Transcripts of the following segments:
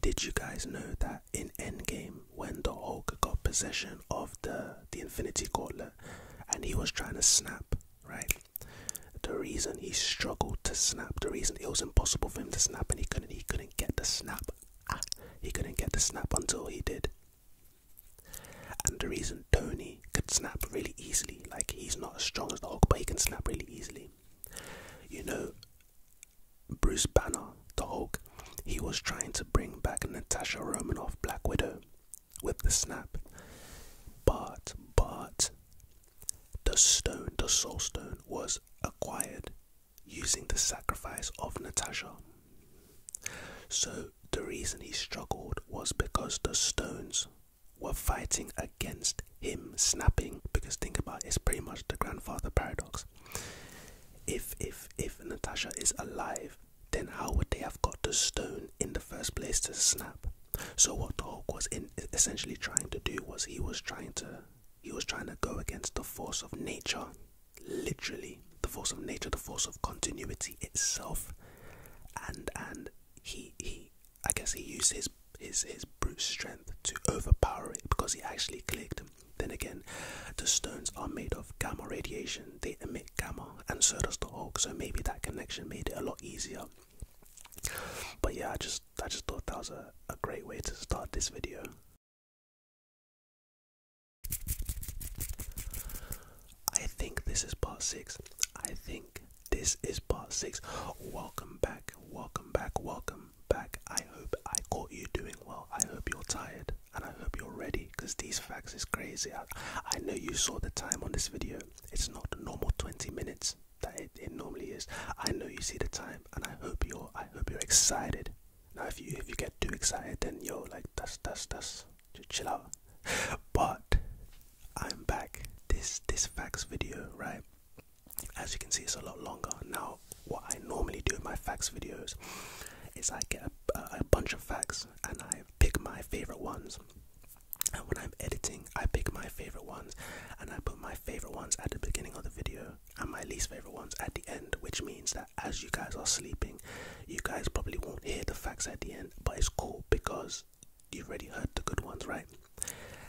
Did you guys know that in Endgame, when the Hulk got possession of the the Infinity Gauntlet, and he was trying to snap, right? The reason he struggled to snap, the reason it was impossible for him to snap, and he couldn't, he couldn't get the snap. Ah, he couldn't get the snap until he did. And the reason Tony could snap really easily, like he's not as strong as the Hulk, but he can snap really easily. You know, Bruce Banner, the Hulk, he was trying to bring back Natasha Romanoff, Black Widow, with the snap. But, but, the stone, the soul stone, was acquired using the sacrifice of Natasha. So, the reason he struggled was because the stones were fighting against him snapping. Because think about it's pretty much the grandfather paradox. If if if Natasha is alive, then how would they have got the stone in the first place to snap? So what Hulk was essentially trying to do was he was trying to he was trying to go against the force of nature, literally the force of nature, the force of continuity itself, and and he he I guess he used his his his brute strength to overpower it because he actually clicked then again, the stones are made of gamma radiation, they emit gamma, and so does the Hulk, so maybe that connection made it a lot easier. But yeah, I just I just thought that was a, a great way to start this video. I think this is part six. I think this is part six. Welcome back, welcome back, welcome back. I hope I caught you doing well. I hope you're tired and I hope you're ready because these facts is crazy. I, I know you saw the time on this video. It's not the normal 20 minutes that it, normally is. I know you see the time and I hope you're I hope you're excited. Now if you if you get too excited then yo like dust, dust, dust. just chill out. But I'm back. This this facts video, right? as you can see it's a lot longer now what i normally do in my facts videos is i get a, bunch of facts and i pick my favorite ones and when i'm editing i pick my favorite ones and i put my favorite ones at the beginning of the video and my least favorite ones at the end which means that as you guys are sleeping you guys probably won't hear the facts at the end but it's cool because you've already heard the good ones right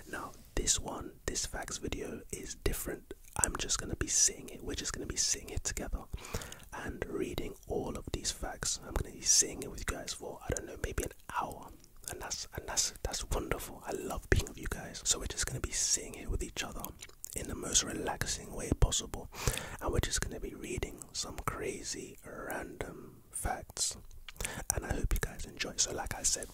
now this one, this facts video is different. I'm just going to be seeing it. We're just going to be seeing it together and reading all of these facts. I'm going to be seeing it with you guys for, I don't know, maybe an hour. And that's and that's that's wonderful. I love being with you guys. So we're just going to be seeing it with each other in the most relaxing way possible. And we're just going to be reading some crazy random facts. And I hope you guys enjoy. So like I said,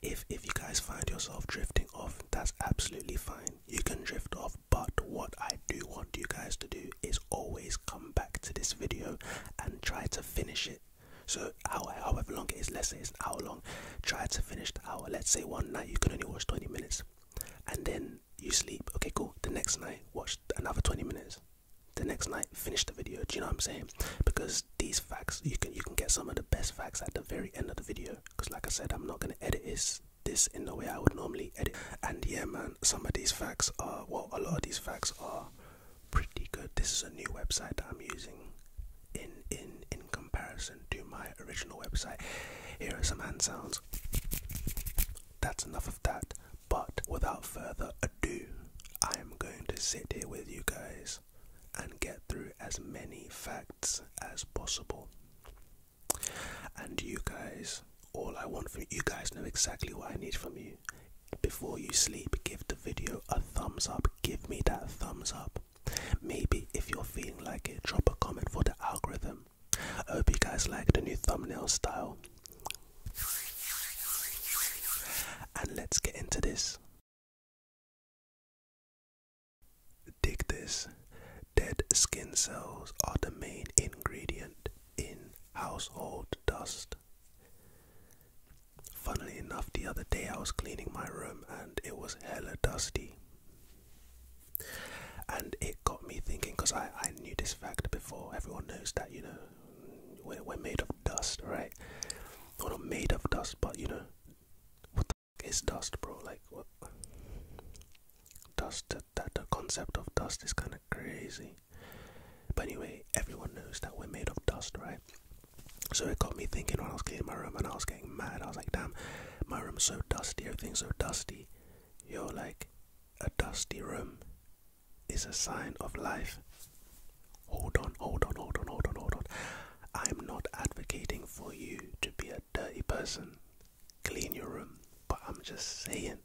if if you guys find yourself drifting off, that's absolutely fine. You can drift off, but what I do want you guys to do is always come back to this video and try to finish it. So hour, however long it less let's it's an hour long, try to finish the hour. Let's say one night you can only watch 20 minutes and then you sleep. Okay, cool. The next night watch another 20 minutes. The next night finish the video. Do you know what I'm saying? Because these facts you can you can get some of the best facts at the very end of the video because like i said i'm not going to edit this this in the way i would normally edit and yeah man some of these facts are well a lot of these facts are pretty good this is a new website that i'm using in in in comparison to my original website here are some hand sounds that's enough of that but without further ado i am going to sit here with you guys and get through as many facts as possible. And you guys, all I want from you guys know exactly what I need from you. Before you sleep, give the video a thumbs up. Give me that thumbs up. Maybe if you're feeling like it, drop a comment for the algorithm. I hope you guys like the new thumbnail style. And let's get into this. Dig this. Dead skin cells are the main ingredient in household dust. Funnily enough, the other day I was cleaning my room and it was hella dusty. And it got me thinking because I, I knew this fact before. Everyone knows that, you know, we're, we're made of dust, right? Well, not made of dust, but you know, what the fuck is dust, bro? Like, what? Dust, that, that the concept of dust is kind of crazy. But anyway, everyone knows that we're made of dust, right? So it got me thinking when I was cleaning my room and I was getting mad. I was like, damn, my room's so dusty, everything's so dusty. You're like, a dusty room is a sign of life. Hold on, hold on, hold on, hold on, hold on. I'm not advocating for you to be a dirty person. Clean your room. But I'm just saying,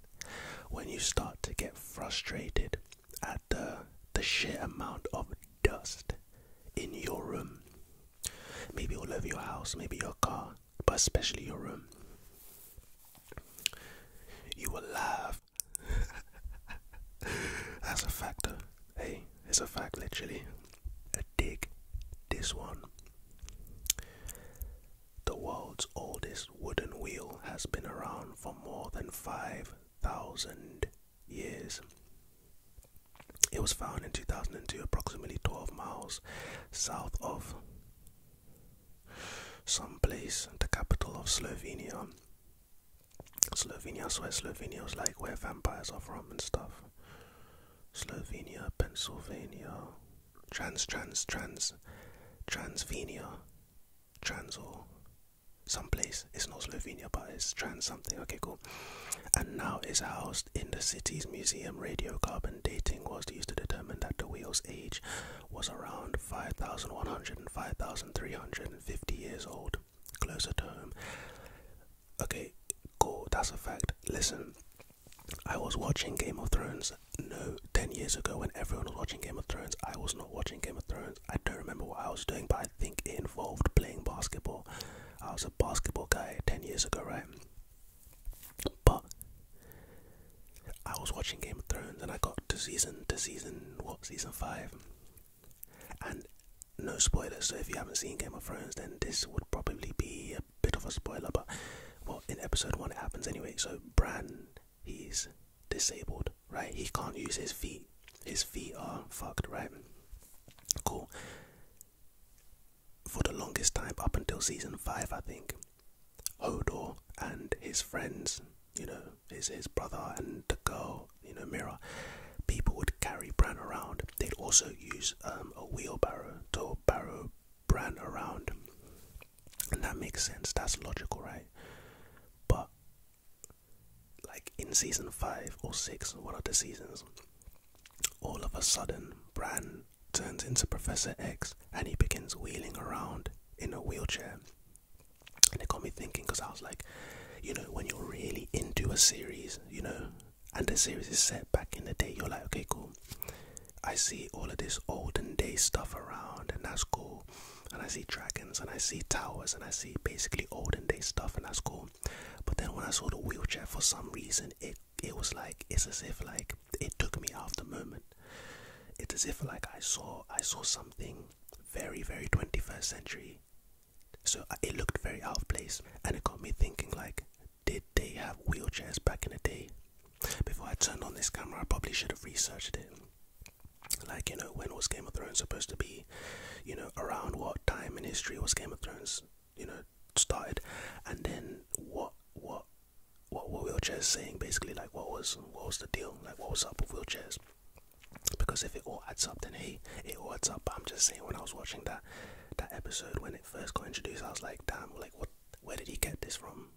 when you start to get frustrated at the, the sheer amount of dust in your room, maybe all over your house, maybe your car, but especially your room, you will laugh. That's a factor hey, it's a fact literally. A dig this one. The world's oldest wooden wheel has been around for more than 5,000 years. It was found in 2002, approximately 12 miles south of some place, the capital of Slovenia. Slovenia, so where Slovenia was like where vampires are from and stuff. Slovenia, Pennsylvania, trans, trans, trans, Transvenia, trans or someplace. It's not Slovenia, but it's trans something. Okay, cool. And now is housed in the city's museum. Radiocarbon dating was used to determine that the whale's age was around 5,100 and 5,350 years old closer to home. Okay, cool, that's a fact. Listen, I was watching Game of Thrones no 10 years ago when everyone was watching Game of Thrones. I was not watching Game of Thrones. I don't remember what I was doing, but I think it involved playing basketball. I was a basketball guy 10 years ago, right? But I was watching Game of Thrones and I got to season to season what season 5. And no spoilers. So if you haven't seen Game of Thrones, then this would probably be a bit of a spoiler. But well, in episode one, it happens anyway. So Bran, he's disabled, right? He can't use his feet. His feet are fucked, right? Cool. For the longest time, up until season five, I think, Hodor and his friends, you know, his his brother and the girl in a mirror. People would carry Bran around. They'd also use um, a wheelbarrow to barrow Bran around. And that makes sense. That's logical, right? But like in season five or six, one of the seasons, all of a sudden, Bran turns into Professor X and he begins wheeling around in a wheelchair. And it got me thinking because I was like, you know, when you're really into a series, you know, and the series is set back in the day, you're like, okay, cool. I see all of this olden day stuff around, and that's cool. And I see dragons, and I see towers, and I see basically olden day stuff, and that's cool. But then when I saw the wheelchair, for some reason, it it was like it's as if like it took me off the moment. It's as if like I saw I saw something very very 21st century so it looked very out of place, and it got me thinking like, did they have wheelchairs back in the day? Before I turned on this camera, I probably should have researched it. Like, you know, when was Game of Thrones supposed to be? You know, around what time in history was Game of Thrones, you know, started? And then what, what, what were wheelchairs saying basically? Like, what was, what was the deal? Like, what was up with wheelchairs? because if it all adds up, then hey, it all adds up. I'm just saying, when I was watching that that episode when it first got introduced, I was like, damn, like what? Where did he get this from?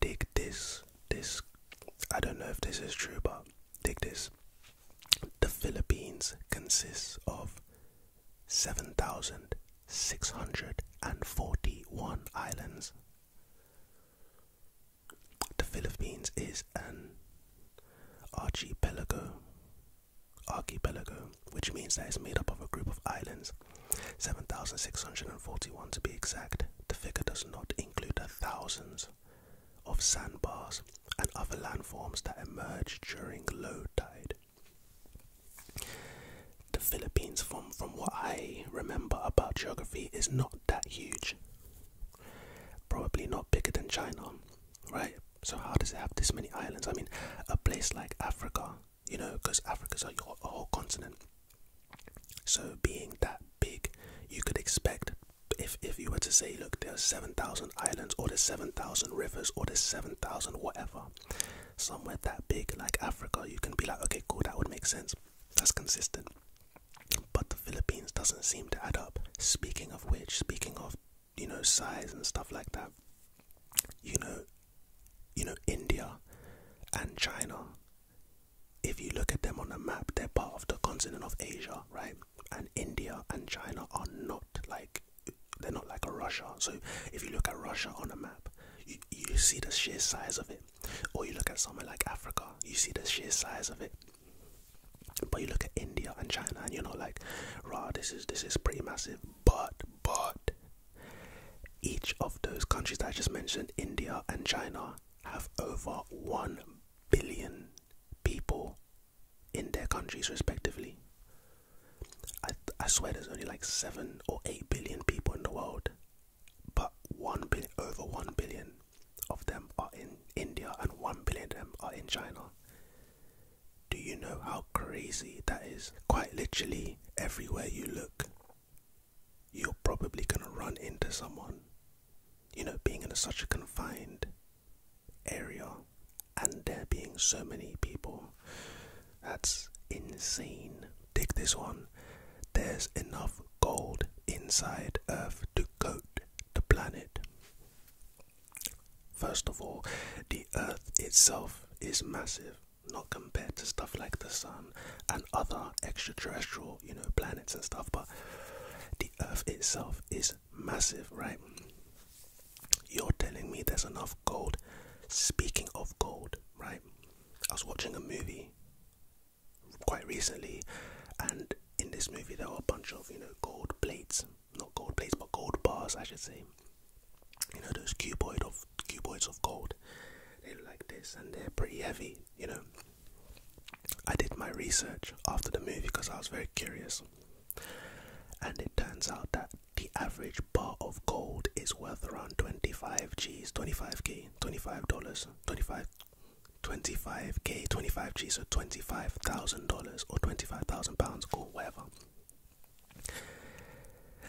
Dig this, this. I don't know if this is true, but dig this. The Philippines consists of seven thousand six hundred and forty-one islands. The Philippines is an archipelago, archipelago, which means that it's made up of a group of islands, 7,641 to be exact. The figure does not include the thousands of sandbars and other landforms that emerge during low tide. The Philippines, from what I remember about geography, is not that huge probably not bigger than China, right? So how does it have this many islands? I mean, a place like Africa, you know, because Africa's a, a whole continent. So being that big, you could expect if if you were to say, look, there's seven thousand islands, or there's seven thousand rivers, or there's seven thousand whatever, somewhere that big like Africa, you can be like, okay, cool, that would make sense. That's consistent. But the Philippines doesn't seem to add up. Speaking of which, speaking of, you know, size and stuff like that, you know, you know, India and China, if you look at them on a the map, they're part of the continent of Asia, right? And India and China are not like they're not like a Russia. So if you look at Russia on a map, you see the sheer size of it. Or you look at somewhere like Africa, you see the sheer size of it. But you look at India and China, and you're like, rah, this is this is pretty massive. But but each of those countries that I just mentioned, India and China, have over one billion people in their countries respectively. I I swear there's only like seven or eight billion people in the world, but one billion over one billion of them are in India and 1 billion of them are in China. Do you know how crazy that is? Quite literally, everywhere you look, you're probably going to run into someone. You know, being in such a confined area and there being so many people, that's insane. Take this one. There's enough gold inside Earth to coat the planet. First of all, the Earth itself is massive, not compared to stuff like the Sun and other extraterrestrial, you know, planets and stuff, but the Earth itself is massive, right? You're telling me there's enough gold. Speaking of gold, right? I was watching a movie quite recently and in this movie there are a bunch of you know gold plates, not gold plates but gold bars I should say. You know those cuboid of cuboids of gold. They look like this and they're pretty heavy. You know. I did my research after the movie because I was very curious, and it turns out that the average bar of gold is worth around 25 G's, 25k, 25 dollars, 25 25k, 25g, so $25,000 or 25,000 pounds or whatever.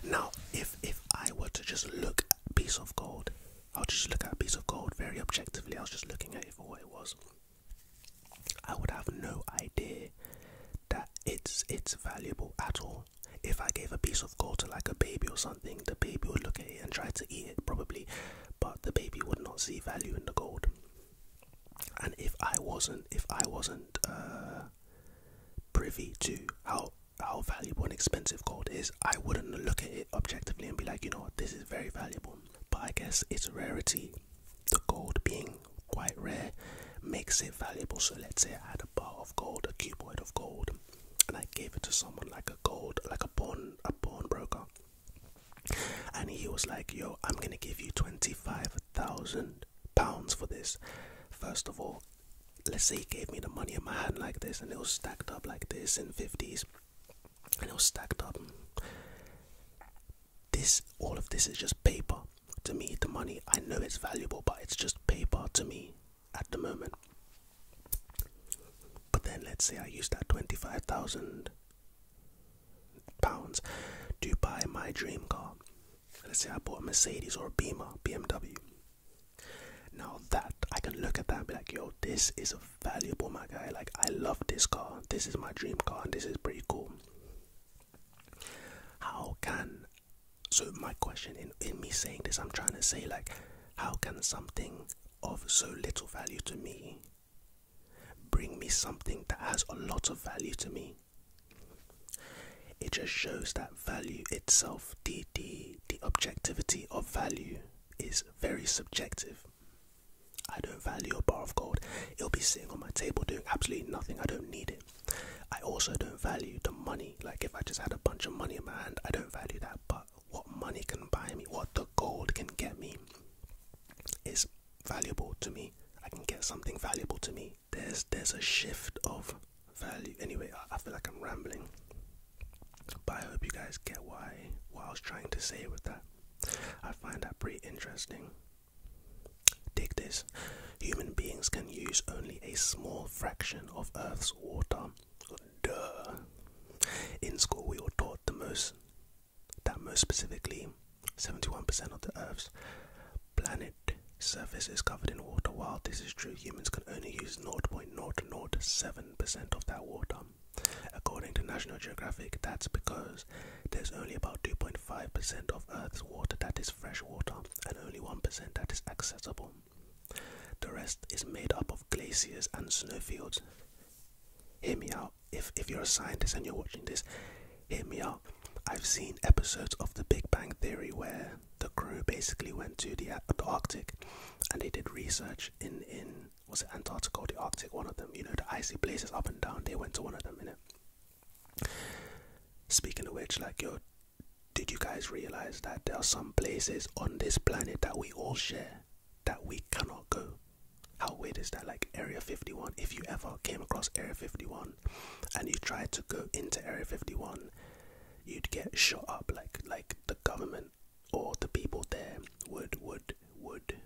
Now, if if I were to just look at a piece of gold, I'll just look at a piece of gold very objectively. I was just looking at it for what it was. I would have no idea that it's it's valuable at all. If I gave a piece of gold to like a baby or something, the baby would look at it and try to eat it probably, but the baby would not see value in the gold and if I wasn't, if I wasn't uh, privy to how how valuable and expensive gold is, I wouldn't look at it objectively and be like, you know this is very valuable. But I guess its rarity, the gold being quite rare, makes it valuable. So let's say I had a bar of gold, a cuboid of gold, and I gave it to someone like a gold, like a bond, a bond broker and he was like, Yo, I'm gonna give you 25,000 pounds for this. First of all, let's say he gave me the money in my hand like this, and it was stacked up like this in 50s, and it was stacked up. This, all of this is just paper to me. The money, I know it's valuable, but it's just paper to me at the moment. But then let's say I use that 25,000 pounds to buy my dream car. Let's say I bought a Mercedes or a Beamer, BMW. Now that I can look at that and be like, yo, this is a valuable, my guy. Like, I love this car. This is my dream car, and this is pretty cool. How can so my question in, in me saying this, I'm trying to say like, how can something of so little value to me Bring me something that has a lot of value to me. It just shows that value itself, the, the, objectivity of value, is very subjective. I don't value a bar of gold. It'll be sitting on my table doing absolutely nothing. I don't need it. I also don't value the money. Like if I just had a bunch of money in my hand, I don't value that. But what money can buy me, what the gold can get me, is valuable to me. I can get something valuable to me. There's there's a shift of value. Anyway, I, feel like I'm rambling, but I hope you guys get why what I was trying to say with that. I find that pretty interesting. Take this: human beings can use only a small fraction of Earth's water. Duh. In school, we were taught the most that most specifically 71% of the Earth's planet surface is covered in water. While this is true, humans can only use 0.007% of that water. According to National Geographic, that's because there's only about 2.5% of Earth's water that is fresh water and only 1% that is accessible. The rest is made up of glaciers and snowfields. Hear me out if if you're a scientist and you're watching this, hit me up. I've seen episodes of The Big Bang Theory where the crew basically went to the, uh, the Arctic and they did research in in was it Antarctica or the Arctic? One of them, you know, the icy places up and down. They went to one of them in it. Speaking of which, like yo, did you guys realize that there are some places on this planet that we all share? that we cannot go. How weird is that? Like Area 51. If you ever came across Area 51 and you tried to go into Area 51, you'd get shot up. Like like the government or the people there would would would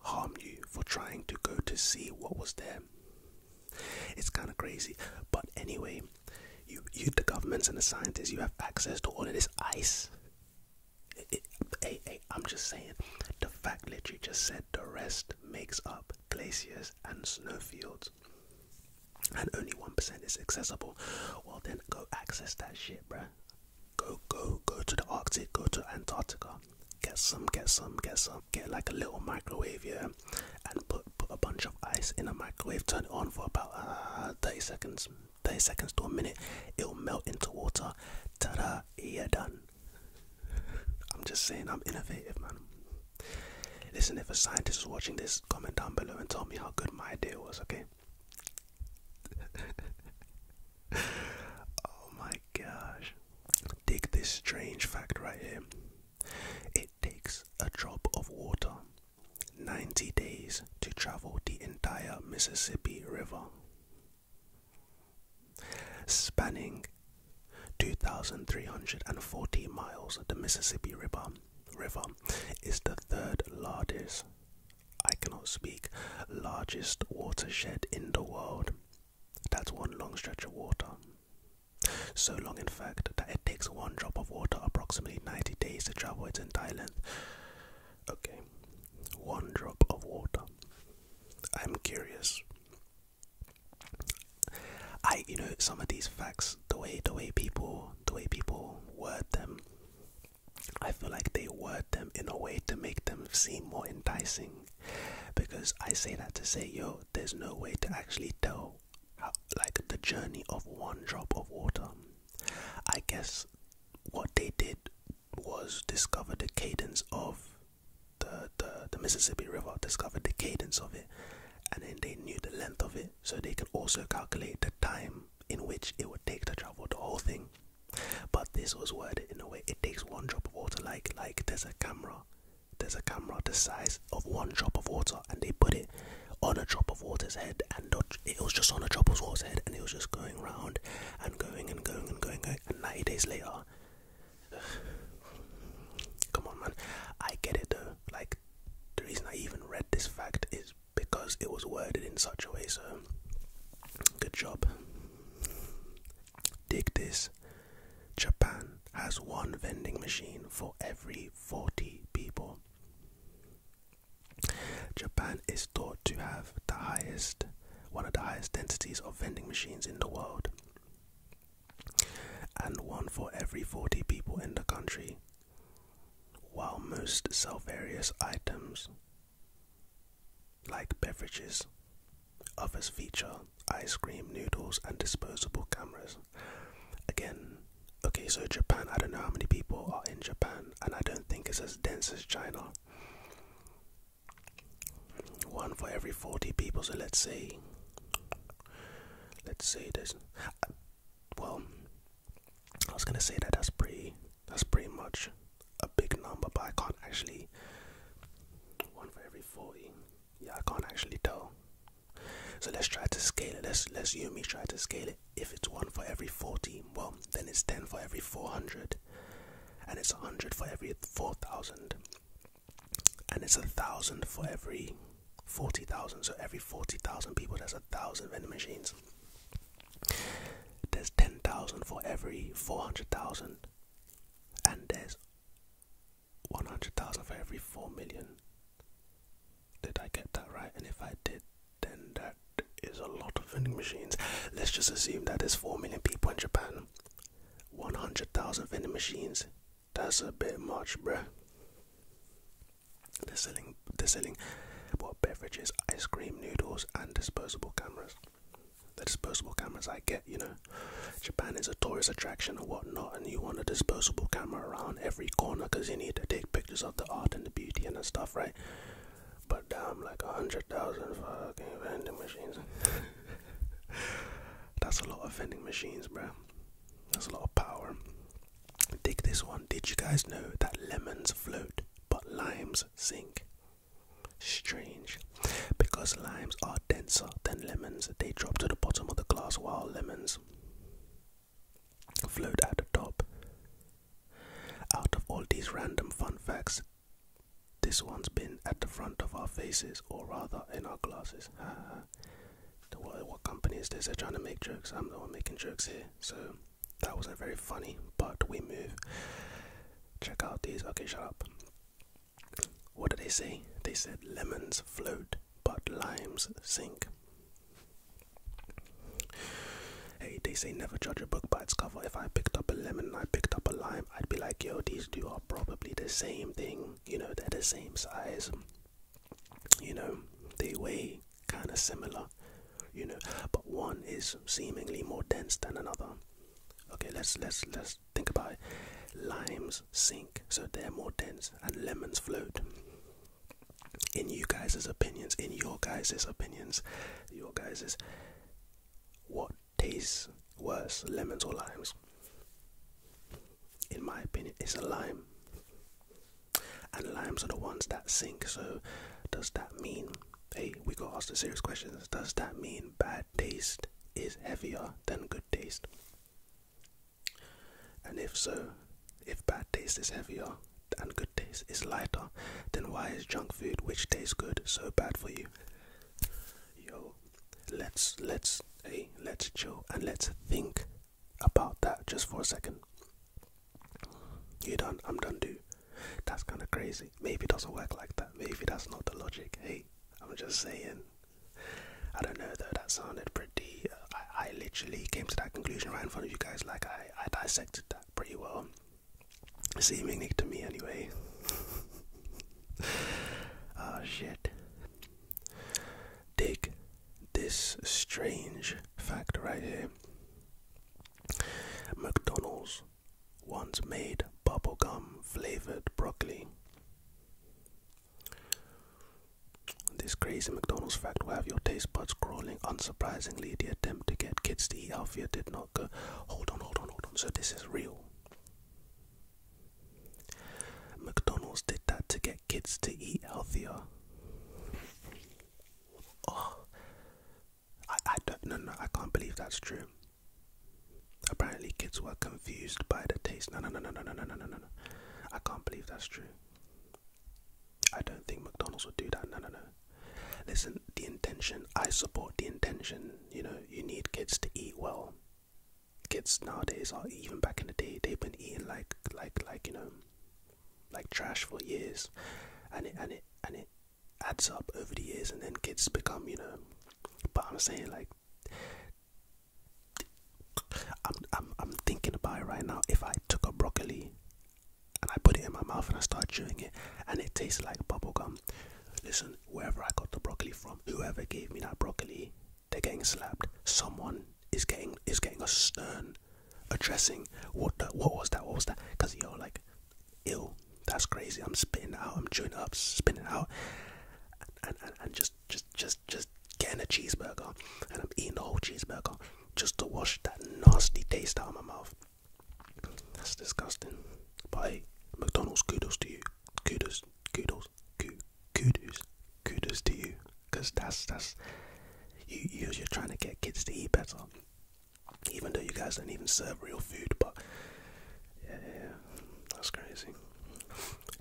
harm you for trying to go to see what was there. It's kind of crazy, but anyway, you you the governments and the scientists you have access to all of this ice I'm just saying, the fact that you just said the rest makes up glaciers and snowfields, and only 1% is accessible. Well, then go access that shit, bro. Go, go, go to the Arctic, go to Antarctica. Get some, get some, get some. Get like a little microwave, here, and put, put a bunch of ice in a microwave. Turn it on for about uh, 30 seconds, 30 seconds to a minute. It'll melt into water. Ta da, you're done. I'm just saying, I'm innovative, man. Listen, if a scientist is watching this, comment down below and tell me how good my idea was, okay? oh my gosh. Dig this strange fact right here. It takes a drop of water 90 days to travel the entire Mississippi River. Spanning 2,340 miles, the Mississippi River, is the third largest, I cannot speak, largest watershed in the world. That's one long stretch of water. So long, in fact, that it takes one drop of water approximately 90 days to travel its entire length. Okay, one drop of water. I'm curious. I you know some of these facts the way the way people the way people word them I feel like they word them in a way to make them seem more enticing because I say that to say yo there's no way to actually tell like the journey of one drop of water I guess what they did was discover the cadence of the, the, Mississippi River discovered the cadence of it and then they knew the length of it, so they could also calculate the time in which it would take to travel the whole thing. But this was worded in a way it takes one drop of water, like like there's a camera, there's a camera the size of one drop of water, and they put it on a drop of water's head, and it was just on a drop of water's head, and it was just going round and going and going and going, going and 90 days later. Come on, man. I get it though. Like, the reason I even read this fact is because it was worded in such a way, so good job. Dig this Japan has one vending machine for every 40 people. Japan is thought to have the highest, one of the highest densities of vending machines in the world, and one for every 40 people in the country. While most sell various items like beverages, others feature ice cream, noodles, and disposable cameras. Again, okay, so Japan, I don't know how many people are in Japan, and I don't think it's as dense as China. One for every 40 people, so let's see. Let's see this. Uh, well, I was gonna say that that's pretty. That's pretty much a big number, but I can't actually. One for every 40. Yeah, I can't actually tell. So let's try to scale it. Let's let's you and me try to scale it. If it's one for every 40, well, then it's 10 for every 400 and it's 100 for every 4,000, and it's a thousand for every 40,000. So every 40,000 people, there's a thousand vending machines. There's 10,000 for every 400,000, and there's 100,000 for every 4 million. Did I get that right? And if I did, then that is a lot of vending machines. Let's just assume that there's 4 million people in Japan 100,000 vending machines. That's a bit much, bro. They're selling, they're selling what beverages, ice cream, noodles, and disposable cameras. The disposable cameras I get, you know. Japan is a tourist attraction or whatnot, and you want a disposable camera around every corner because you need to take pictures of the art and the beauty and the stuff, right? But damn, like a hundred thousand fucking vending machines. That's a lot of vending machines, bro. That's a lot of power. Dig this one. Did you guys know that lemons float but limes sink? Strange. Because limes are denser than lemons, they drop to the bottom of the glass while lemons float at the top. Out of all these random fun facts, this one's been at the front of our faces, or rather in our glasses. what, company is this? They're trying to make jokes. I'm the making jokes here. So that wasn't very funny, but we move. Check out these. Okay, shut up. What did they say? They said lemons float, but limes sink. Hey, they say never judge a book by its cover. If I picked up a lemon I picked up a lime, I'd be like, yo, these two are probably the same thing, you know, they're the same size, you know, they weigh kind of similar, you know, but one is seemingly more dense than another. Okay, let's let's let's think about it. Limes sink, so they're more dense, and lemons float. In you guys' opinions, in your guys' opinions, your guys' what tastes worse, lemons or limes? In my opinion, it's a lime. And limes are the ones that sink. So, does that mean, hey, we got to ask the serious questions. Does that mean bad taste is heavier than good taste? And if so, if bad taste is heavier and good taste is lighter, then why is junk food, which tastes good, so bad for you? yo let's let's hey let's chill and let's think about that just for a second you done i'm done too. that's kind of crazy maybe it doesn't work like that maybe that's not the logic hey i'm just saying i don't know though that sounded pretty uh, I, I literally came to that conclusion right in front of you guys like i i dissected that pretty well Seemingly to me, anyway. Ah, shit. Dig this strange fact right here. McDonald's once made bubblegum flavored broccoli. This crazy McDonald's fact will have your taste buds crawling. Unsurprisingly, the attempt to get kids to eat healthier did not go. Hold on, hold on, hold on. So, this is real. McDonald's did that to get kids to eat healthier. Oh, I, I don't no no I can't believe that's true. Apparently kids were confused by the taste. No no no no no no no no no no. I can't believe that's true. I don't think McDonald's would do that. No no no. Listen the intention. I support the intention. You know, you need kids to eat well. Kids nowadays are even back in the day they've been eating like like like you know like trash for years and it and it and it adds up over the years and then kids become, you know but I'm saying like I'm I'm I'm thinking about it right now. If I took a broccoli and I put it in my mouth and I start chewing it and it tastes like bubble gum. Listen, wherever I got the broccoli from, whoever gave me that broccoli, they're getting slapped. Someone is getting is getting a stern addressing. What the, what was that? What was that? Because you're like, ill. That's crazy. I'm spitting out. I'm chewing up, spinning out, and just just just just getting a cheeseburger, and I'm eating the whole cheeseburger just to wash that nasty taste out of my mouth. That's disgusting. But hey, McDonald's, kudos to you. Kudos, kudos, kudos, kudos to you. Cause that's that's you. You're, you're trying to get kids to eat better, even though you guys don't even serve real food. But yeah, yeah that's crazy.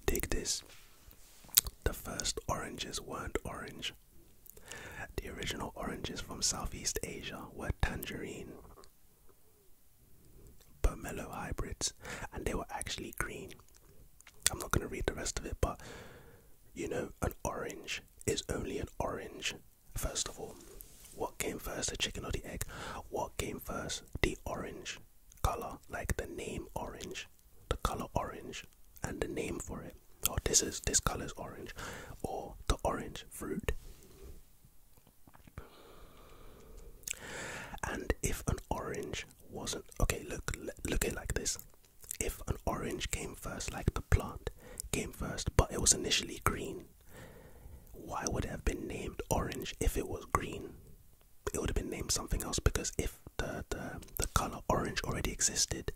Dig this. The first oranges weren't orange. The original oranges from Southeast Asia were tangerine, Pomelo hybrids, and they were actually green. I'm not going to read the rest of it, but you know, an orange is only an orange, first of all. What came first, the chicken or the egg? What came first, the orange color, like the name orange, the color orange, and the name for it? Or oh, this is this color is orange, or the orange fruit? And if an orange wasn't okay, look, look it like this. If an orange came first, like the plant came first, but it was initially green, why would it have been named orange if it was green? It would have been named something else because if the the, the color orange already existed,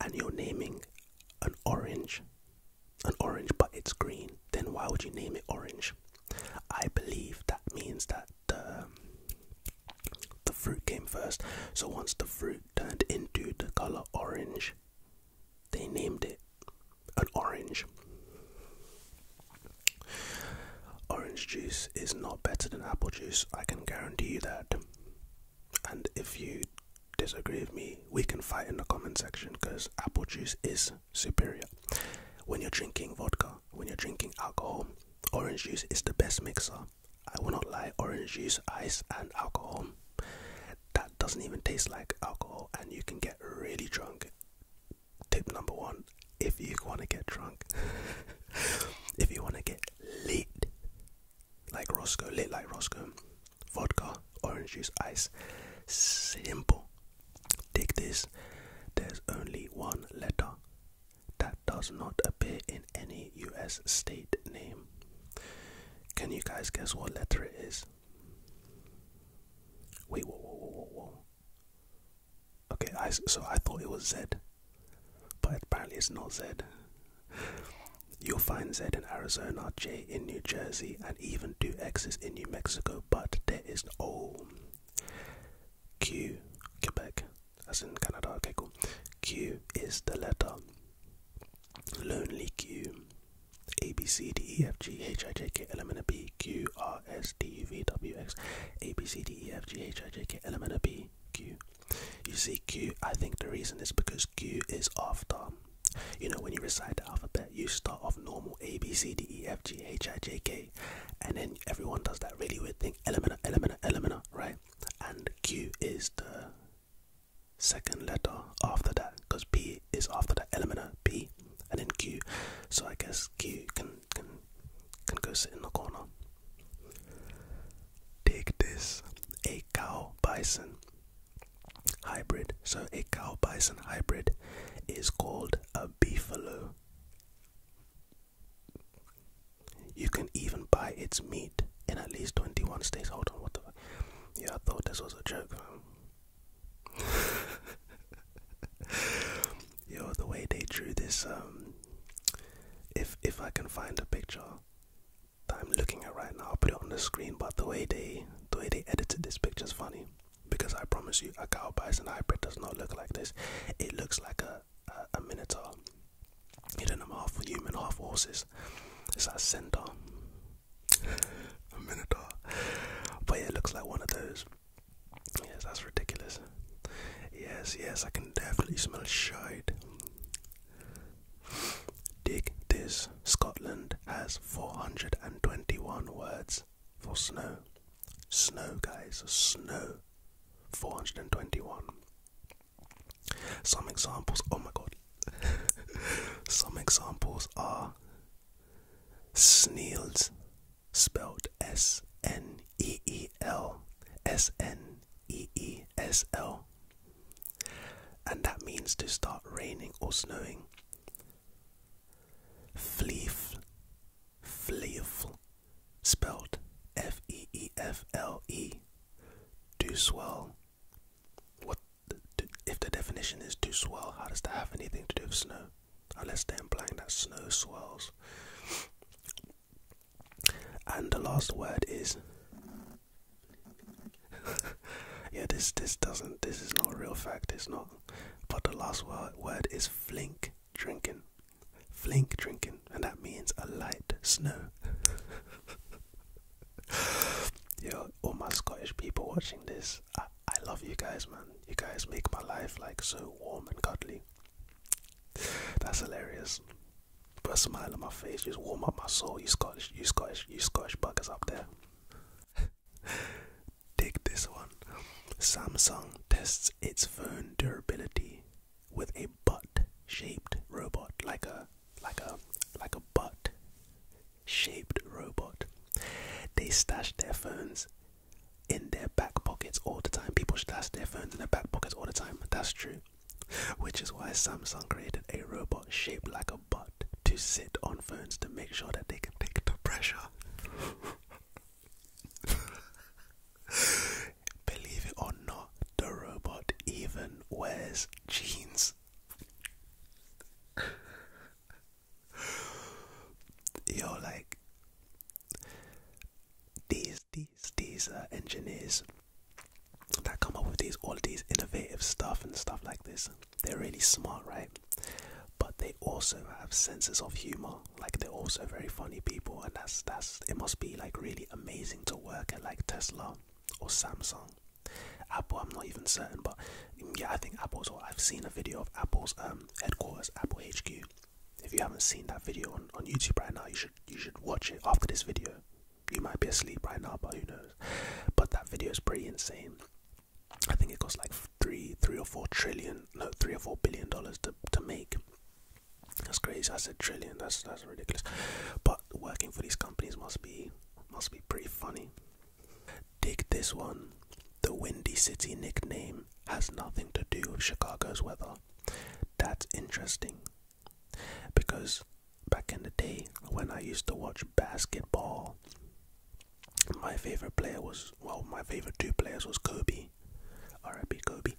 and you're naming an orange an orange, but it's green, then why would you name it orange? I believe that means that the, the fruit came first. So once the fruit turned into the color orange, they named it an orange. Orange juice is not better than apple juice, I can guarantee you that. And if you disagree with me, we can fight in the comment section because apple juice is superior. When you're drinking vodka, when you're drinking alcohol, orange juice is the best mixer. I will not lie, orange juice, ice, and alcohol. That doesn't even taste like alcohol, and you can get really drunk. Tip number one if you want to get drunk, if you want to get lit like Roscoe, lit like Roscoe, vodka, orange juice, ice. Simple. Dig this. There's only one letter that does not appear in any US state name. Can you guys guess what letter it is? Wait, whoa, whoa, whoa, whoa, whoa. Okay, I, so I thought it was Z, but apparently it's not Z. You'll find Z in Arizona, J in New Jersey and even do X's in New Mexico, but there is O Q Quebec, as in Canada. Okay, cool. Q is the letter. Lonely Q. A B C D E F G H I J K L M N P Q R S T U V W X A B C D E F G H I J K L M N P Q. You see Q. I think the reason is because Q is after you know, when you recite the alphabet, you start off normal A, B, C, D, E, F, G, H, I, J, K, and then everyone does that really weird thing elementer, elementer, elementer, right? And Q is the second letter after that because P is after that elementer, P, and then Q. So I guess Q can, can, can go sit in the corner. Take this a cow bison hybrid. So a cow bison hybrid is called a beefalo. You can even buy its meat in at least 21 states. Hold on, what the Yeah, I thought this was a joke, man. Yo, the way they drew this, um, if if I can find a picture that I'm looking at right now, I'll put it on the screen. But the way they the way they edited this picture is funny because I promise you, a cow bison hybrid does not look like this. It looks like a a, minotaur. You don't know, half human, half horses. It's a centaur, a minotaur. But it looks like one of those. Yes, that's ridiculous. Yes, yes, I can definitely smell shite. Dig this. Scotland has 421 words for snow. Snow, guys, snow. 421. Some examples, oh my god. Some examples are sneels, spelled S N E E L S N E E S L. And that means to start raining or snowing. Fleef, Fleefl, spelled F E E F L E, do swell. What if the definition is do swell? How does that have anything to do with snow? Unless they're implying that snow swells. And the last word is yeah, this this doesn't this is not a real fact. It's not. But the last word, word is flink drinking, flink drinking, and that means a light snow. Yo, all my Scottish people watching this, I, love you guys, man. You guys make my life like so warm and godly. That's hilarious. Put a smile on my face, just warm up my soul. You Scottish, you Scottish, you Scottish buggers up there. Take this one. Samsung tests its phone durability with a butt-shaped robot, like a like a like a butt-shaped robot. They stash their phones in their back pockets all the time. People stash their phones in their back pockets all the time. That's true. Which is why Samsung created a robot shaped like a butt to sit on phones to make sure that they can take the pressure. Believe it or not, the robot even wears jeans. You're like these, these, these uh, engineers that come up with these, all these innovative stuff and stuff like this. They're really smart, right? But they also have senses of humor. Like they're also very funny people, and that's that's it must be like really amazing to work at like Tesla or Samsung. Apple, I'm not even certain, but yeah, I think Apple's. Or I've seen a video of Apple's um, headquarters, Apple HQ. If you haven't seen that video on, on YouTube right now, you should you should watch it after this video. You might be asleep right now, but who knows? But that video is pretty insane. I think it costs like three, three or four trillion, no, three or four billion dollars to to make. That's crazy. I said trillion. That's that's ridiculous. But working for these companies must be must be pretty funny. Dig this one. The Windy City nickname has nothing to do with Chicago's weather. That's interesting because back in the day when I used to watch basketball, my favorite player was well, my favorite two players was Kobe, R.I.P. Kobe,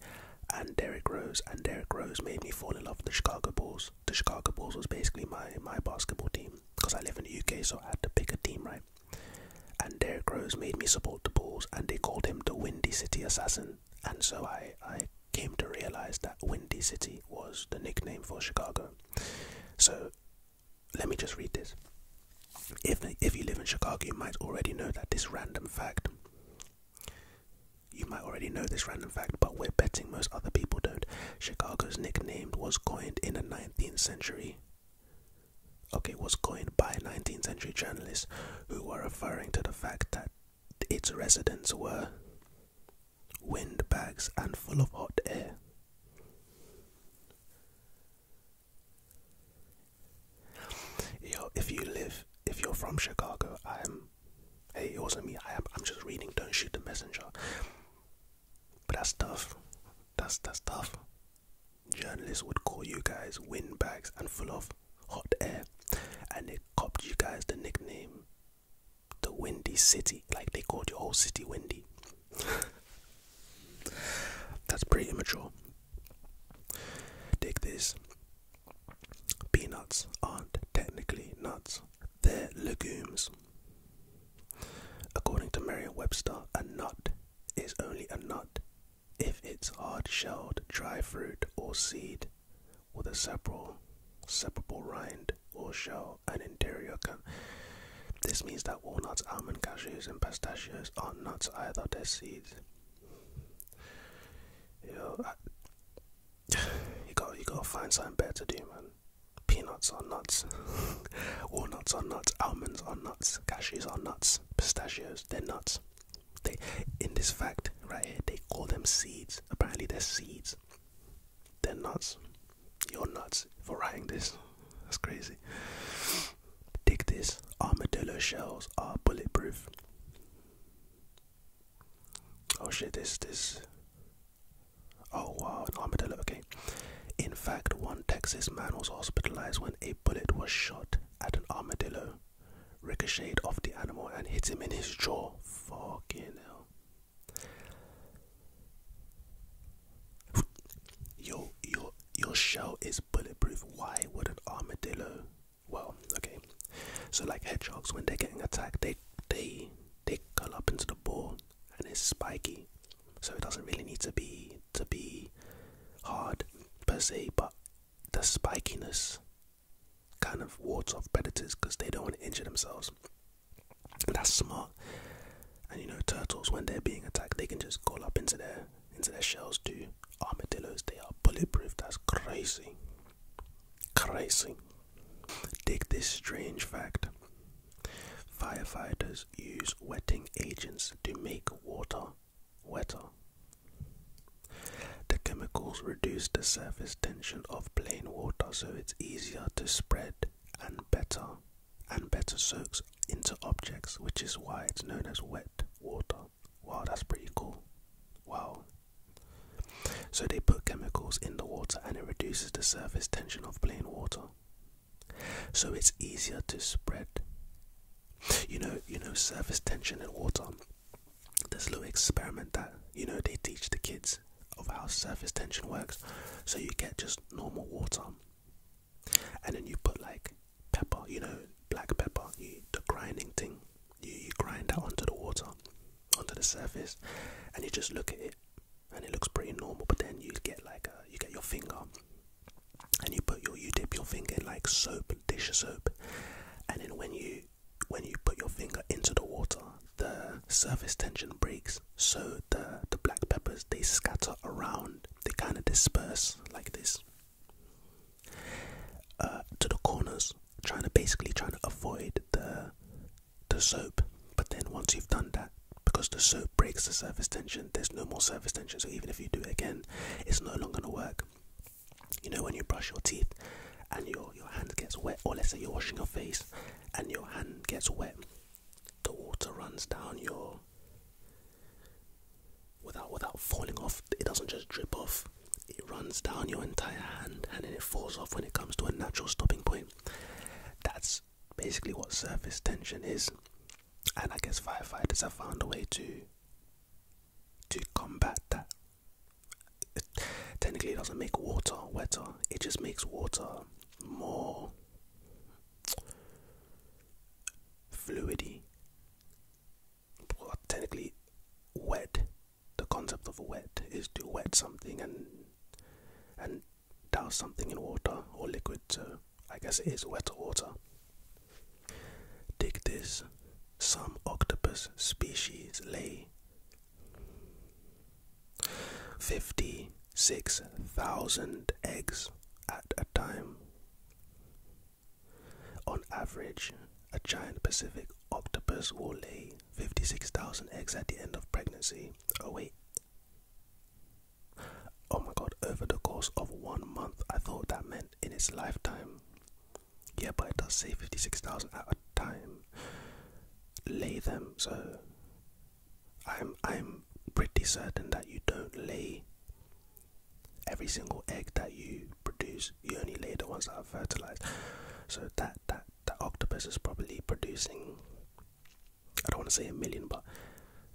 and Derrick Rose. And Derrick Rose made me fall in love with the Chicago Bulls. The Chicago Bulls was basically my my basketball team because I live in the UK, so I had to pick a team, right? And Derrick Rose made me support the Bulls, and they called him the Windy City Assassin. And so I I came to realize that Windy City was the nickname for Chicago. So let me just read this. If, if you live in Chicago, you might already know that this random fact. You might already know this random fact, but we're betting most other people don't. Chicago's nickname was coined in the 19th century. Okay, was coined by 19th century journalists who were referring to the fact that its residents were windbags and full of hot air. Yo, if you live, if you're from Chicago, I am. Hey, it wasn't me. I am. I'm just reading. Don't shoot the messenger. But that's tough. That's that's tough. Journalists would call you guys windbags and full of hot air, and they copped you guys the nickname, the Windy City. Like they called your whole city windy. That's pretty immature. Dig this. Peanuts aren't technically nuts, they're legumes. According to Merriam Webster, a nut is only a nut if it's hard shelled, dry fruit, or seed with a separable, separable rind will show an interior cone. This means that walnuts, almonds, cashews, and pistachios are nuts either, they're seeds. Yo, you got you gotta find something better to do, man. Peanuts are nuts, walnuts are nuts, almonds are nuts, cashews are nuts, pistachios they're nuts. They in this fact right here they call them seeds. Apparently they're seeds. They're nuts. You're nuts for writing this. That's crazy. Dig this. Armadillo shells are bulletproof. Oh shit, this, this. Oh wow, an armadillo, okay. In fact, one Texas man was hospitalized when a bullet was shot at an armadillo, ricocheted off the animal, and hit him in his jaw. Fucking hell. Your your your shell is bulletproof. Why would an armadillo? Well, okay. So like hedgehogs, when they're getting attacked, they they they curl up into the ball and it's spiky. So it doesn't really need to be to be hard per se, but the spikiness kind of wards off predators because they don't want to injure themselves. That's smart. And you know, turtles when they're being attacked, they can just call up into their into their shells too. Armadillos, they are bulletproof. That's crazy. Crazy. Take this strange fact. Firefighters use wetting agents to make water wetter. The chemicals reduce the surface tension of plain water so it's easier to spread and better and better soaks into objects, which is why it's known as wet water. Wow, that's pretty cool. Wow. So they put chemicals in the water and it reduces the surface tension of plain water. So it's easier to spread. You know, you know, surface tension in water. There's a little experiment that you know they teach the kids of how surface tension works. So you get just normal water and then you put like pepper, you know, black pepper, you, the grinding thing, you, you grind that onto the water, onto the surface, and you just look at it, and it looks pretty normal. But then you get like a, uh, you get your finger, and you put your you dip your finger like soap, dish of soap, and then when you when you put your finger into the water, the surface tension breaks so the the black peppers they scatter around. They kind of disperse like this uh, to the corners, trying to basically trying to avoid the the soap. But then once you've done that, because the soap breaks the surface tension, there's no more surface tension. So even if you do it again, it's no longer gonna work. You know when you brush your teeth and your your hand gets wet, or let's say you're washing your face and your hand gets wet the water runs down your without without falling off. It doesn't just drip off. It runs down your entire hand and then it falls off when it comes to a natural stopping point. That's basically what surface tension is. And I guess firefighters have found a way to to combat that. technically, it doesn't make water wetter. It just makes water more fluidy, well, technically wet. The concept of wet is to wet something and and douse something in water or liquid. So I guess it is wetter water. Dig this. Some octopus species lay 56,000 eggs at a time. On average, a giant Pacific octopus will lay 56,000 eggs at the end of pregnancy. Oh, wait. Oh my god, over the course of one month, I thought that meant in its lifetime. Yeah, but it does say 56,000 at a time. Lay them, so I'm I'm pretty certain that you don't lay every single egg that you produce. You only lay the ones that are fertilized. So that that that octopus is probably producing. I don't want to say a million, but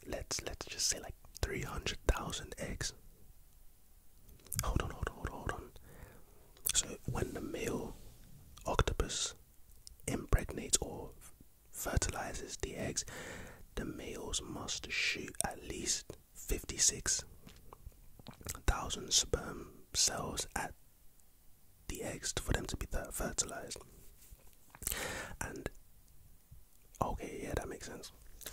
let's let's just say like three hundred thousand eggs. Hold on, hold on, hold on, hold on. So when the male octopus impregnates or fertilizes the eggs, the males must shoot at least 56,000 sperm cells at the eggs for them to be fertilized. And okay, yeah, that makes sense.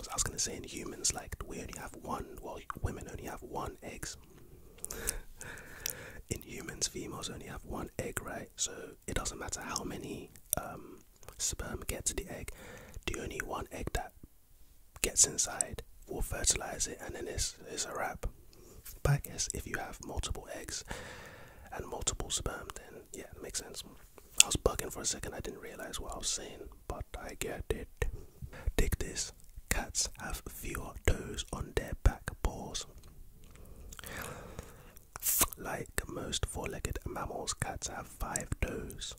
I was gonna say in humans, like we only have one. Well, women only have one egg. in humans, females only have one egg, right? So it doesn't matter how many um, sperm get to the egg, the only one egg that gets inside will fertilize it, and then it's, it's a wrap. But I guess if you have multiple eggs and multiple sperm, then yeah, it makes sense. I was bugging for a second, I didn't realize what I was saying, but I get it. Take this cats have fewer toes on their back paws. Like most four-legged mammals, cats have five toes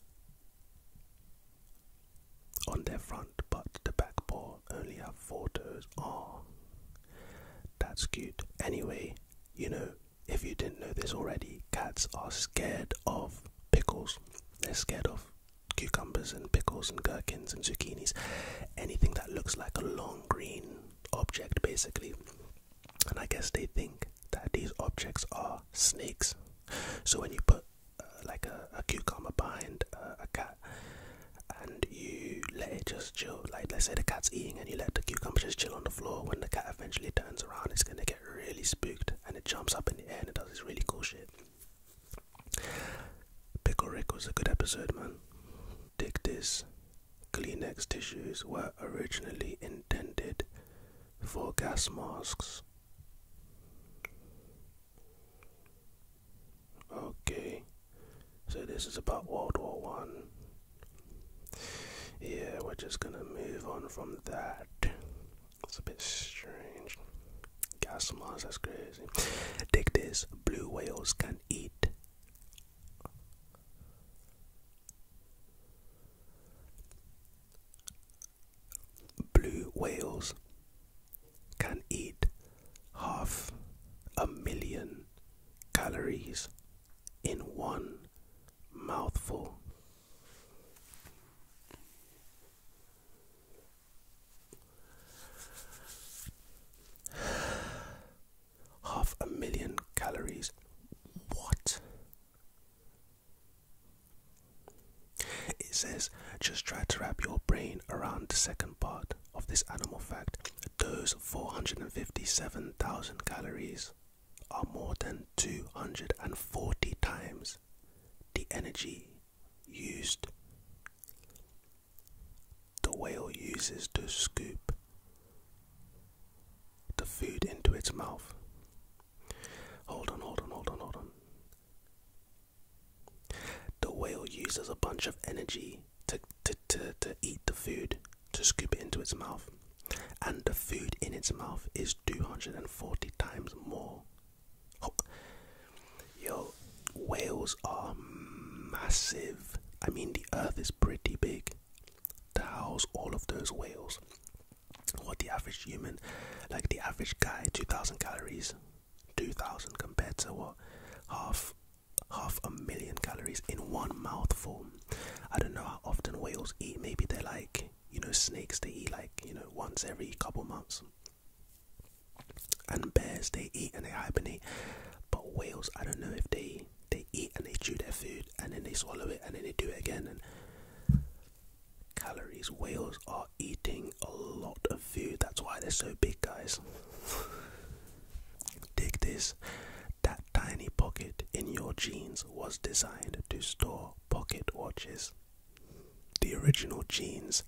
on their front, but the back paw only have four toes. Oh, that's cute. Anyway, you know, if you didn't know this already, cats are scared of pickles. They're scared of cucumbers and pickles and gherkins and zucchinis. Anything that looks like a long green object basically. And I guess they think that these objects are snakes. So when you put uh, like a, cucumber behind uh, a cat and you let it just chill, like let's say the cat's eating and you let the cucumber just chill on the floor, when the cat eventually turns around, it's gonna get really spooked and it jumps up in the air and does this really cool shit. Pickle Rick was a good episode, man. Dig this. Kleenex tissues were originally intended for gas masks. Okay, so this is about World War One. Yeah, we're just gonna move on from that. It's a bit strange. Gas masks, that's crazy. Take this: blue whales can eat Blue whales can eat half a million calories in one mouthful half a million calories. What? It says just try to wrap your brain around the second part of this animal fact. Those 457,000 calories are more than 240 times the energy used the whale uses to scoop the food into its mouth. Hold on, hold on, hold on, hold on. The whale uses a bunch of energy to, to, to, eat the food, to scoop it into its mouth. And the food in its mouth is 240 times more. Oh. Yo, whales are massive. I mean, the earth is pretty big big to house all of those whales. What the average human, like the average guy, 2,000 calories, 2,000 compared to what? Half half a million calories in one mouthful. I don't know how often whales eat. Maybe they're like, you know, snakes, they eat like, you know, once every couple months. And bears, they eat and they hibernate but whales, I don't know if they they eat and they chew their food and then they swallow it and then they do it again. And calories, whales are eating a lot of food. That's why they're so big, guys. Dig this. That tiny pocket in your jeans was designed to store pocket watches. The original jeans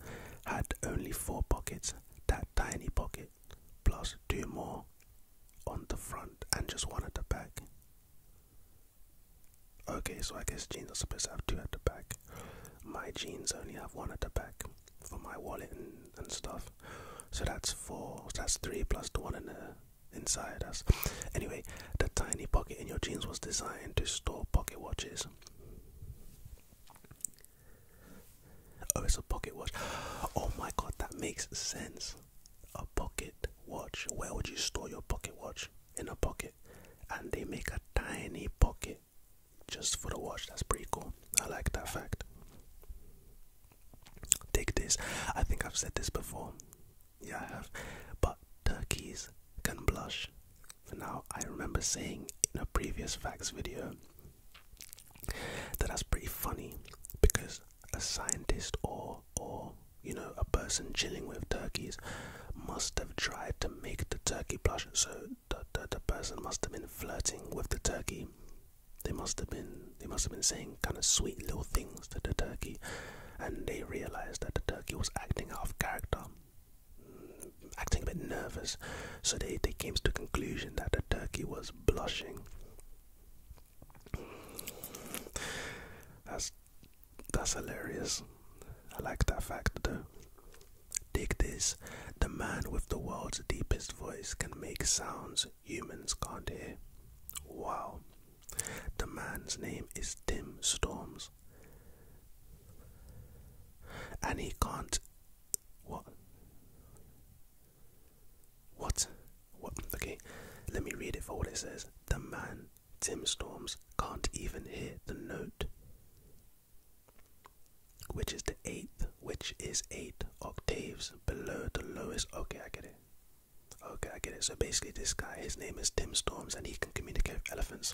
had only four pockets. That tiny pocket plus two more on the front and just one at the back. Okay, so I guess jeans are supposed to have two at the back. My jeans only have one at the back for my wallet and, stuff. So that's four, that's three one in the inside us. Anyway, the tiny pocket in your jeans was designed to store pocket watches. Oh, it's a pocket watch. Oh my god, that makes sense. A pocket watch. Where would you store your pocket watch? In a pocket. And they make a tiny pocket just for the watch. That's pretty cool. I like that fact. Take this. I think I've said this before. Yeah, I have. But turkeys can blush. Now, I remember saying in a previous facts video that that's pretty funny because a scientist or or you know a person chilling with turkeys must have tried to make the turkey blush. So the, the person must have been flirting with the turkey. They must have been they must have been saying kind of sweet little things to the turkey, and they realized that the turkey was acting out of character, mm, acting a bit nervous. So they they came to the conclusion that the turkey was blushing. That's that's hilarious. I like that fact though. Dig this. The man with the world's deepest voice can make sounds humans can't hear. Wow. The man's name is Tim Storms. And he can't. What? What? Okay, let me read it for what it says. The man, Tim Storms, can't even hear the note, which is the eighth, which is eight octaves below the lowest. Okay, I get it. Okay, I get it. So basically, this guy, his name is Tim Storms, and he can communicate with elephants,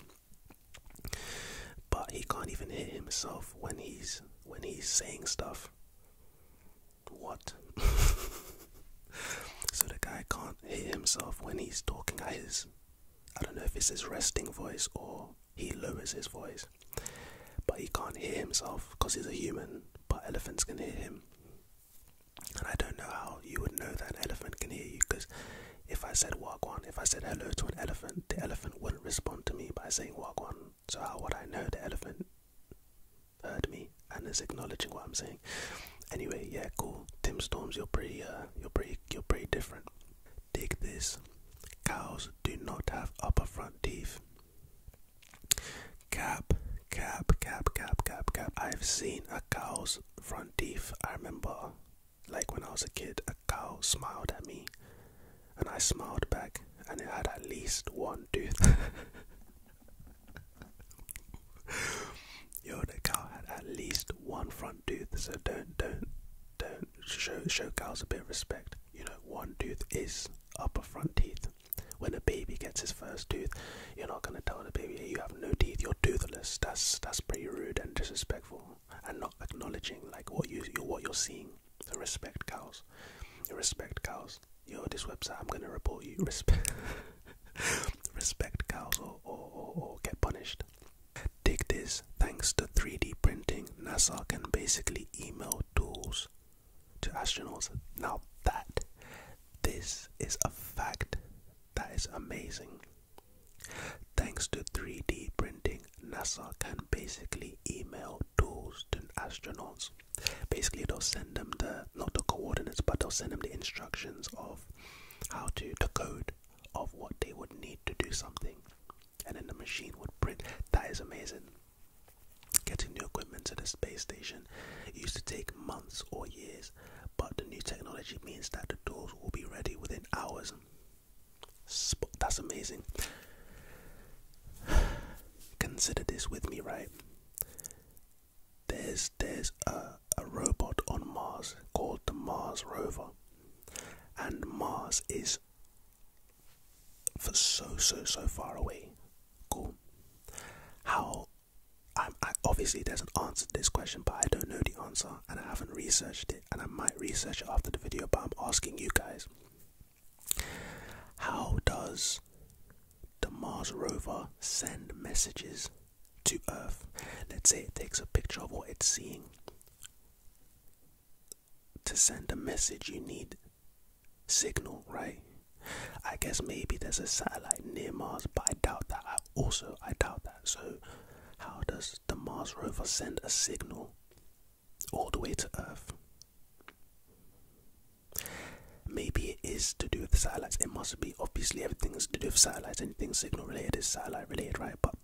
but he can't even hear himself when he's when he's saying stuff. What? so the guy can't hear himself when he's talking his. I don't know if it's his resting voice or he lowers his voice. But he can't hear himself because he's a human, but elephants can hear him. And I don't know how you would know that elephant can hear you because if I said Wagwan, if I said hello to an elephant, the elephant wouldn't respond to me by saying Wagwan. So how would I know the elephant heard me and is acknowledging what I'm saying? Anyway, yeah, cool. Tim Storms, you're pretty, uh, you're pretty, you're pretty different. Dig this. Cows do not have upper front teeth. Cap, cap, cap, cap, cap, cap. I've seen a cow's front teeth. I remember, like when I was a kid, a cow smiled at me and I smiled back, and it had at least one tooth. Yo, the cow had at least one front tooth, so don't, don't, don't show show cows a bit of respect. You know, one tooth is upper front teeth. When a baby gets his first tooth, you're not gonna tell the baby you have no teeth, you're toothless. That's that's pretty rude and disrespectful, and not acknowledging like what you what you're seeing. Respect cows. Respect cows. Yo, this website, I'm gonna report you. Respect, respect cows, or, or, or, get punished. Dig this. Thanks to 3D printing, NASA can basically email tools to astronauts. Now that this is a fact, that is amazing. Thanks to 3D printing, NASA can basically email tools to astronauts basically they'll send them the not the coordinates but they'll send them the instructions of how to decode of what they would need to do something and then the machine would print that is amazing getting new equipment to the space station used to take months or years but the new technology means that the doors will be ready within hours Sp that's amazing Consider this with me, right? There's there's a, a robot on Mars called the Mars rover, and Mars is for so so so far away. Cool. How? I, I obviously doesn't answer this question, but I don't know the answer, and I haven't researched it, and I might research it after the video. But I'm asking you guys. How does the Mars rover send messages to Earth? Let's say it takes a picture of what it's seeing. To send a message, you need signal, right? I guess maybe there's a satellite near Mars, but I doubt that. I also, I doubt that. So, how does the Mars rover send a signal all the way to Earth. Maybe it is to do with satellites. It must be. Obviously, everything is to do with satellites. Anything signal related is satellite related, right? But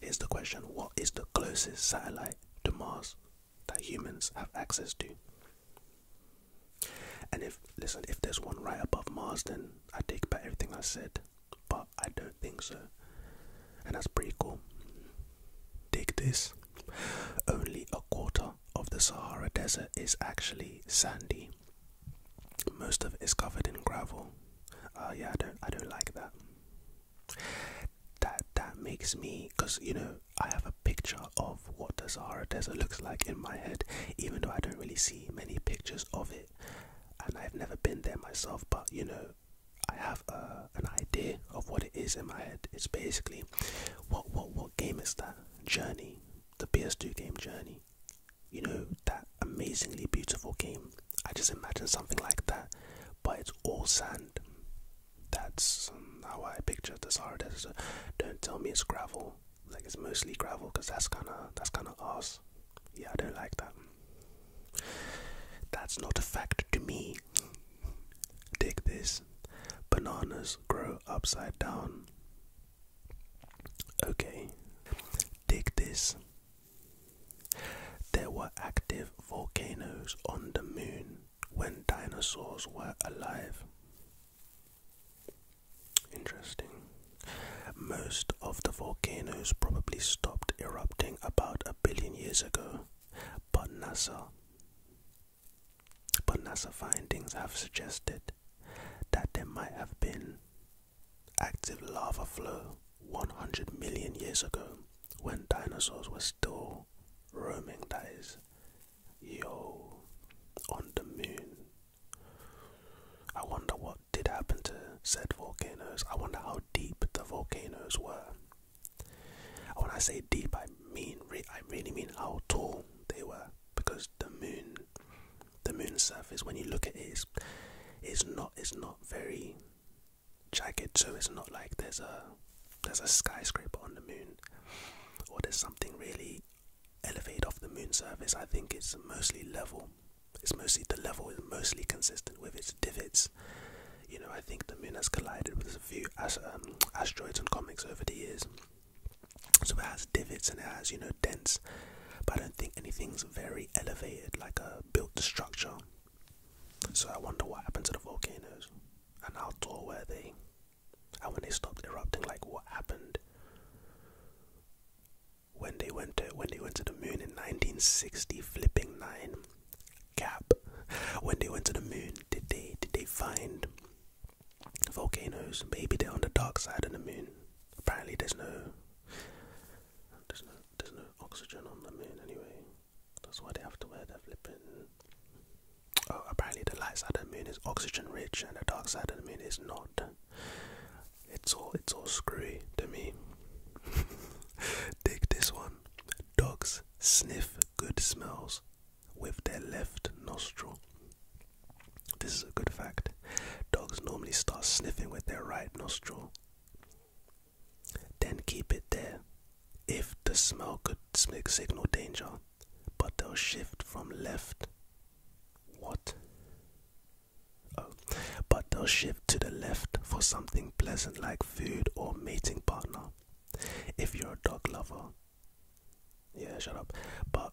here's the question What is the closest satellite to Mars that humans have access to? And if, listen, if there's one right above Mars, then I take back everything I said. But I don't think so. And that's pretty cool. Take this. Only a quarter of the Sahara Desert is actually sandy. Most of it is covered in gravel. Uh, yeah, I don't, I don't like that. That that makes me, because you know, I have a picture of what the Sahara Desert looks like in my head, even though I don't really see many pictures of it, and I've never been there myself. But you know, I have uh, an idea of what it is in my head. It's basically what what what game is that? Journey, the PS2 game Journey. You know that amazingly beautiful game. I just imagine something like that, but it's all sand. That's how I picture the Sahara Don't tell me it's gravel. Like it's mostly gravel, cause that's kind of that's kind of arse. Yeah, I don't like that. That's not a fact to me. Dig this. Bananas grow upside down. Okay. Dig this. There were active volcanoes on the moon when dinosaurs were alive. Interesting. Most of the volcanoes probably stopped erupting about a billion years ago, but NASA but NASA findings have suggested that there might have been active lava flow 100 million years ago when dinosaurs were still roaming, that is, yo, on the moon. I wonder what did happen to said volcanoes. I wonder how deep the volcanoes were. When I say deep, I mean I really mean how tall they were, because the moon, the moon's surface, when you look at it, is, not is not very jagged, so it's not like there's a there's a skyscraper on the moon, or there's something really elevated off the moon surface. I think it's mostly level. It's mostly the level is mostly consistent with its divots. You know, I think the moon has collided with a few um, asteroids and comets over the years. So it has divots and it has, you know, dents. But I don't think anything's very elevated, like a built structure. So I wonder what happened to the volcanoes and how tall were they? And when they stopped erupting, like what happened? When they went to when they went to the moon in 1960, flipping nine, gap. When they went to the moon, did they did they find volcanoes? Maybe they're on the dark side of the moon. Apparently, there's no there's no there's no oxygen on the moon anyway. That's why they have to wear their flipping. Oh, apparently the light side of the moon is oxygen rich, and the dark side of the moon is not. It's all it's all screwy to me. Dig this one. Dogs sniff good smells with their left nostril. This is a good fact. Dogs normally start sniffing with their right nostril, then keep it there if the smell could signal danger, but they'll shift from left. What? Oh, but they'll shift to the left for something pleasant like food or mating partner. If you're a dog lover, yeah, shut up. But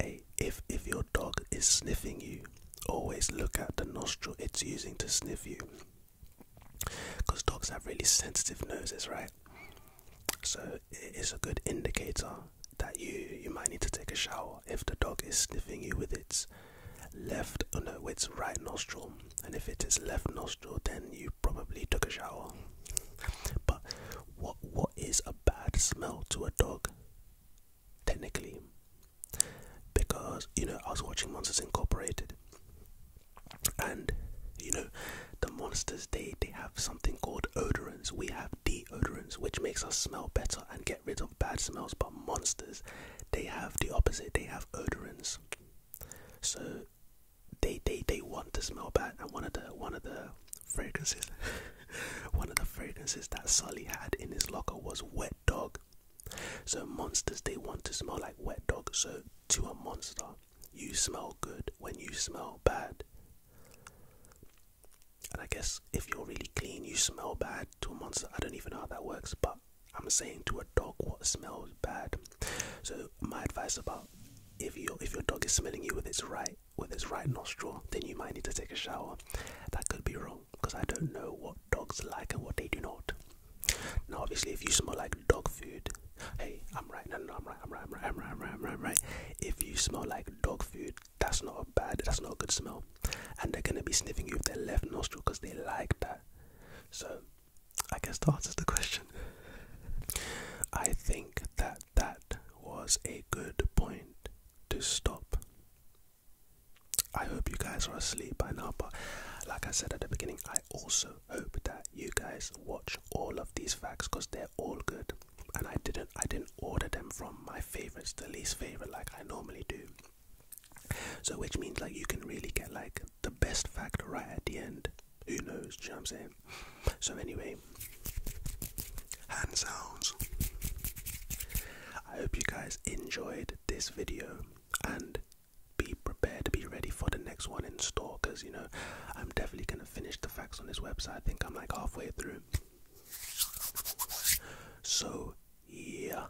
hey, if if your dog is sniffing you, always look at the nostril it's using to sniff you. Because dogs have really sensitive noses, right? So it's a good indicator that you you might need to take a shower if the dog is sniffing you with its left, oh no, its right nostril and if it is left nostril, then you probably took a shower. But what what is a bad smell to a dog? Technically, because you know I was watching Monsters Incorporated, and you know the monsters they they have something called odorants. We have deodorants, which makes us smell better and get rid of bad smells. But monsters, they have the opposite. They have odorants. So they they they want to smell bad and one of the one of the fragrances one of the fragrances that Sully had in his locker was wet dog. So monsters they want to smell like wet dog. So to a monster, you smell good when you smell bad. And I guess if you're really clean, you smell bad to a monster. I don't even know how that works, but I'm saying to a dog what smells bad. So my advice about if your if your dog is smelling you with its right with its right nostril, then you might need to take a shower. That could be wrong because I don't know what dogs like and what they do not. Now, obviously, if you smell like dog food, hey, I'm right. No, no, I'm right. I'm right. I'm right. I'm right. I'm right. I'm right. right. If you smell like dog food, that's not a bad. That's not a good smell, and they're gonna be sniffing you with their left nostril because they like that. So I guess that answers the question. I think that that was a good point to stop. I hope you guys are asleep by now, but like I said at the beginning, I also hope that you guys watch all of these facts because they're all good. And I didn't I didn't order them from my favorites the least favorite like I normally do. So which means like you can really get like the best fact right at the end. Who knows? you know what I'm saying? So anyway, hand sounds. I hope you guys enjoyed this video and be prepared to be ready for the next one in store because you know I'm definitely gonna finish the facts on this website. I think I'm like halfway through. So yeah.